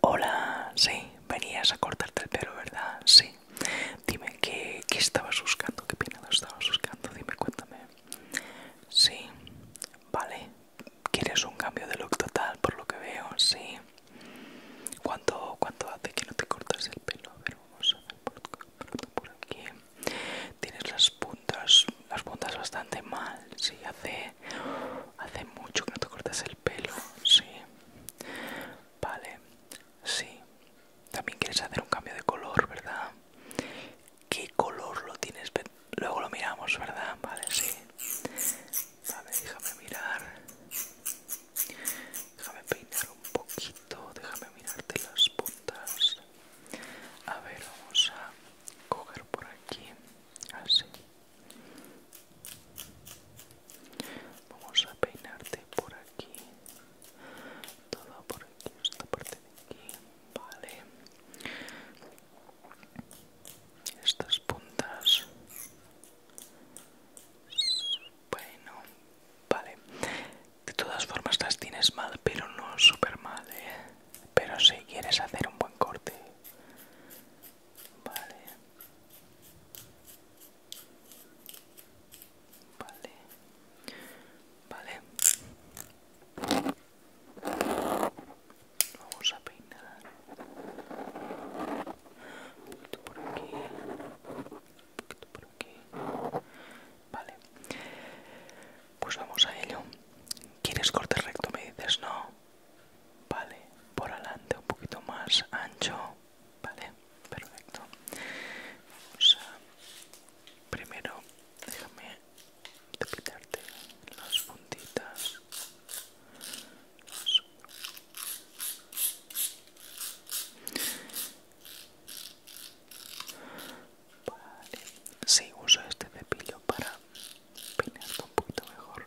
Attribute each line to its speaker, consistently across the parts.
Speaker 1: Hola, sí, venías a cortarte el pelo, ¿verdad? Sí. Dime qué, qué estabas buscando, qué peinado estabas buscando, dime, cuéntame. Sí, vale. ¿Quieres un cambio de look total por lo que veo? Sí. ¿Cuánto, cuánto hace que no te cortas el pelo? A vamos a ver por aquí tienes las puntas las puntas bastante mal sí hace hace mucho que no te cortas el pelo sí vale sí también quieres hacer un cambio de color verdad qué color lo tienes luego lo miramos verdad vale sí vale déjame mirar déjame peinar un poquito déjame mirarte las puntas a ver, vamos a coger por aquí, así. Vamos a peinarte por aquí, todo por aquí, esta parte de aquí, vale. Estas puntas. Bueno, vale. De todas formas las tienes mal, pero no super mal, ¿eh? Pero si quieres hacer un buen corte. Vale. Vale. Vale. Vamos a peinar. por aquí un poquito por Vale. Pues vamos a ello. ¿Quieres corte recto? Me dices no. Vale. Por adelante, un poquito más ancho. Vale. Perfecto. Vamos a... Primero, déjame depilarte las puntitas. Vale, sí, uso este pepillo para peinarlo un poquito mejor.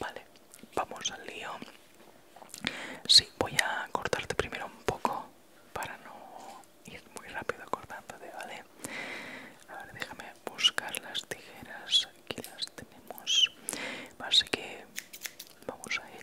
Speaker 1: Vale, vamos al lío. Sí, voy a cortarte primero un poco para no ir muy rápido cortándote, ¿vale? A ver, déjame buscar las tijeras que las tenemos así que vamos a ello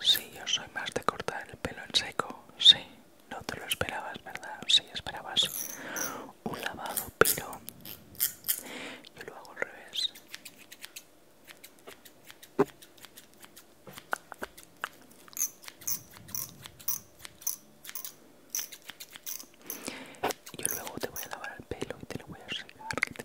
Speaker 1: Sí, yo soy más de cortar el pelo en seco. Sí, no te lo esperabas, ¿verdad? Sí, esperabas un lavado, pero yo lo hago al revés. Yo luego te voy a lavar el pelo y te lo voy a secar, ¿qué te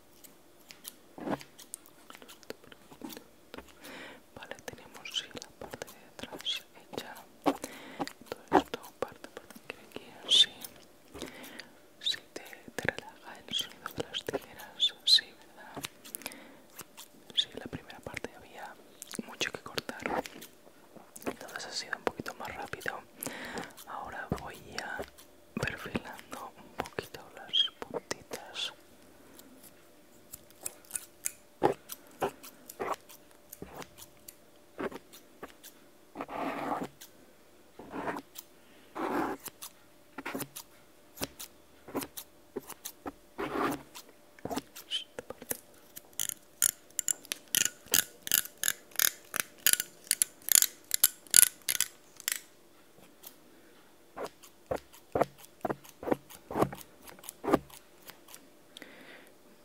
Speaker 1: Vale, tenemos sí, la parte de atrás hecha. Todo esto, parte, por aquí así. Si te, relaja el sonido de las tijeras, sí, ¿verdad? Sí, la primera parte había mucho que cortar. Entonces ha sido un poquito más rápido. Ahora voy a perfilando un poquito las puntitas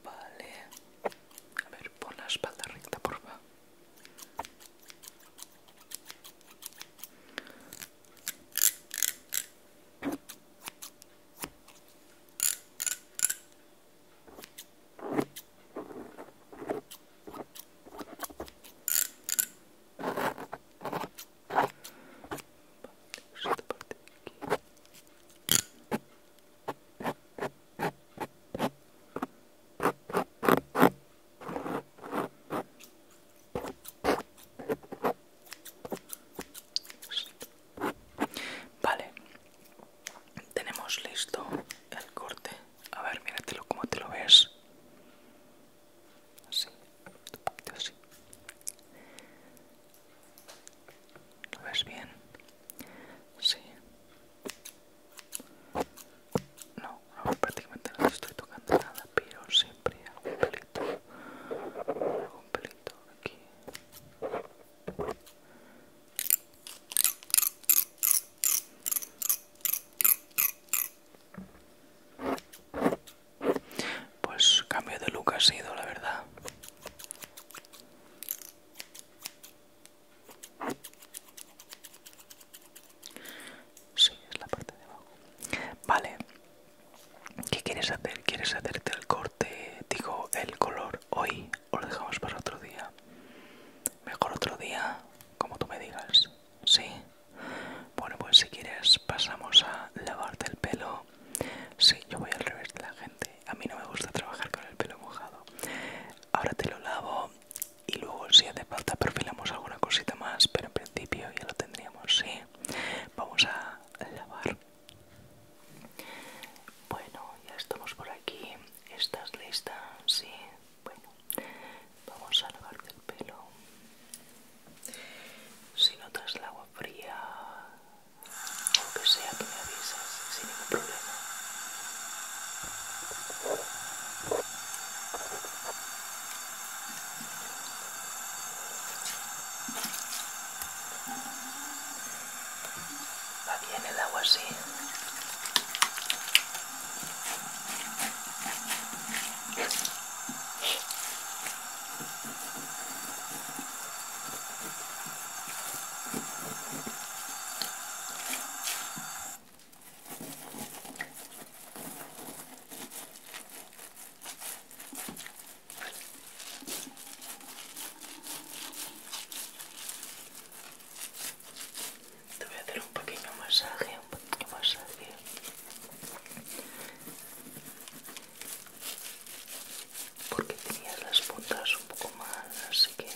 Speaker 1: Vale. A ver, pon la espalda recta, por Vale, tenemos listo el corte a ver, míratelo cómo te lo ves. Así, un poquito así. ¿Lo ves bien? Sí. No, prácticamente no te estoy tocando nada, pero siempre algún pelito. Algún pelito aquí. Pues cambio de look ha sido, la verdad. Sí, es la parte de abajo. Vale. ¿Qué quieres hacer? ¿Quieres hacerte el corte? Digo, el color hoy o lo dejamos para otro día. Mejor otro día como tú me digas. Sí. Bueno, pues si quieres pasamos a lavarte el pelo. Sí, yo voy al revés de la gente. A mí no me gusta trabajar con el pelo mojado. Ahora te lo lavo y luego si hace falta perfilamos alguna cosita más, pero en principio ya lo tendríamos, sí. Vamos a lavar. Bueno, ya estamos por aquí. ¿Estás lista? Sí. Bueno, vamos a lavarte el pelo. Si notas el agua fría o que sea, que me avisas sin ningún problema va bien el agua así te voy a hacer un pequeño masaje, un pequeño masaje. Porque tenías las puntas un poco mal, así que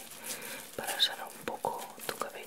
Speaker 1: para sanar un poco tu cabello.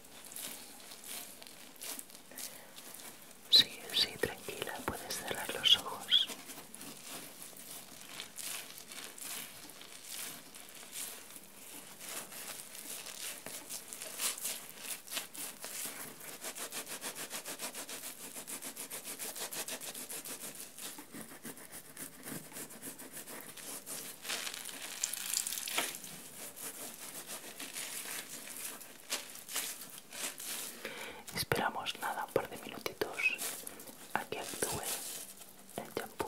Speaker 1: Sí, sí, tranquila, puedes cerrar los ojos. Esperamos nada, un par de minutitos a que actúe el champú.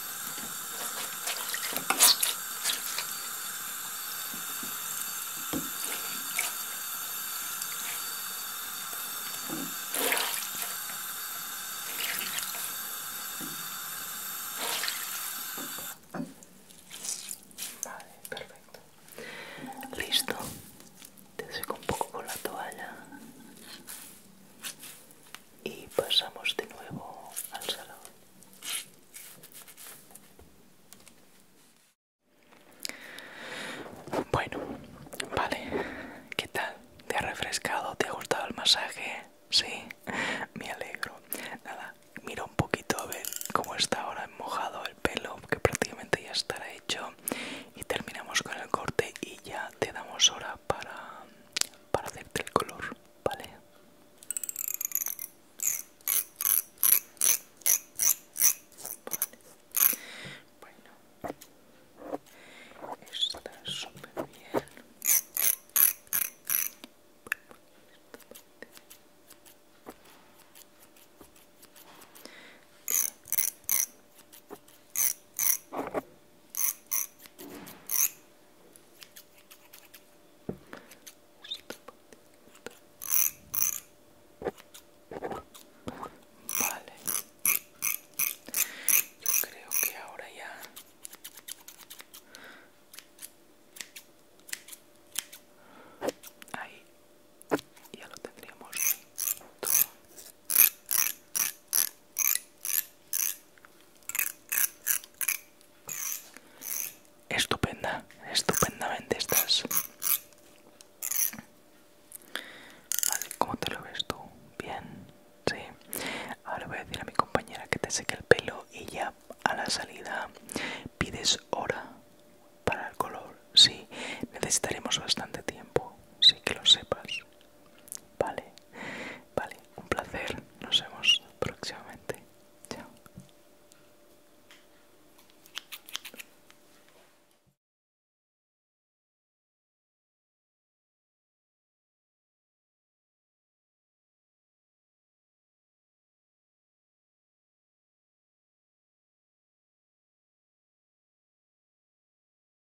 Speaker 1: Vale, perfecto. Listo. Te seco un poco con la toalla y pasamos de nuevo al salón. Bueno, vale. ¿Qué tal? ¿Te ha refrescado? ¿Te ha gustado el masaje? Sí, me alegro. Nada, mira un poquito a ver cómo está ahora mojado el pelo, que prácticamente ya estará hecho. Y terminamos con el corte y ya te damos hora para, para hacerte el color. ¿vale? Bueno, está súper bien. Vale, yo creo que ahora ya ahí ya lo tendríamos Estupenda, estupendamente estás. ¿cómo te lo ves tú? Bien, sí. Ahora voy a decir a mi compañera que te seque el pelo y ya a la salida pides hora para el color. Sí, necesitaremos bastante tiempo, sí que lo sepas. Vale, vale, un placer. Nos vemos próximamente. Chao.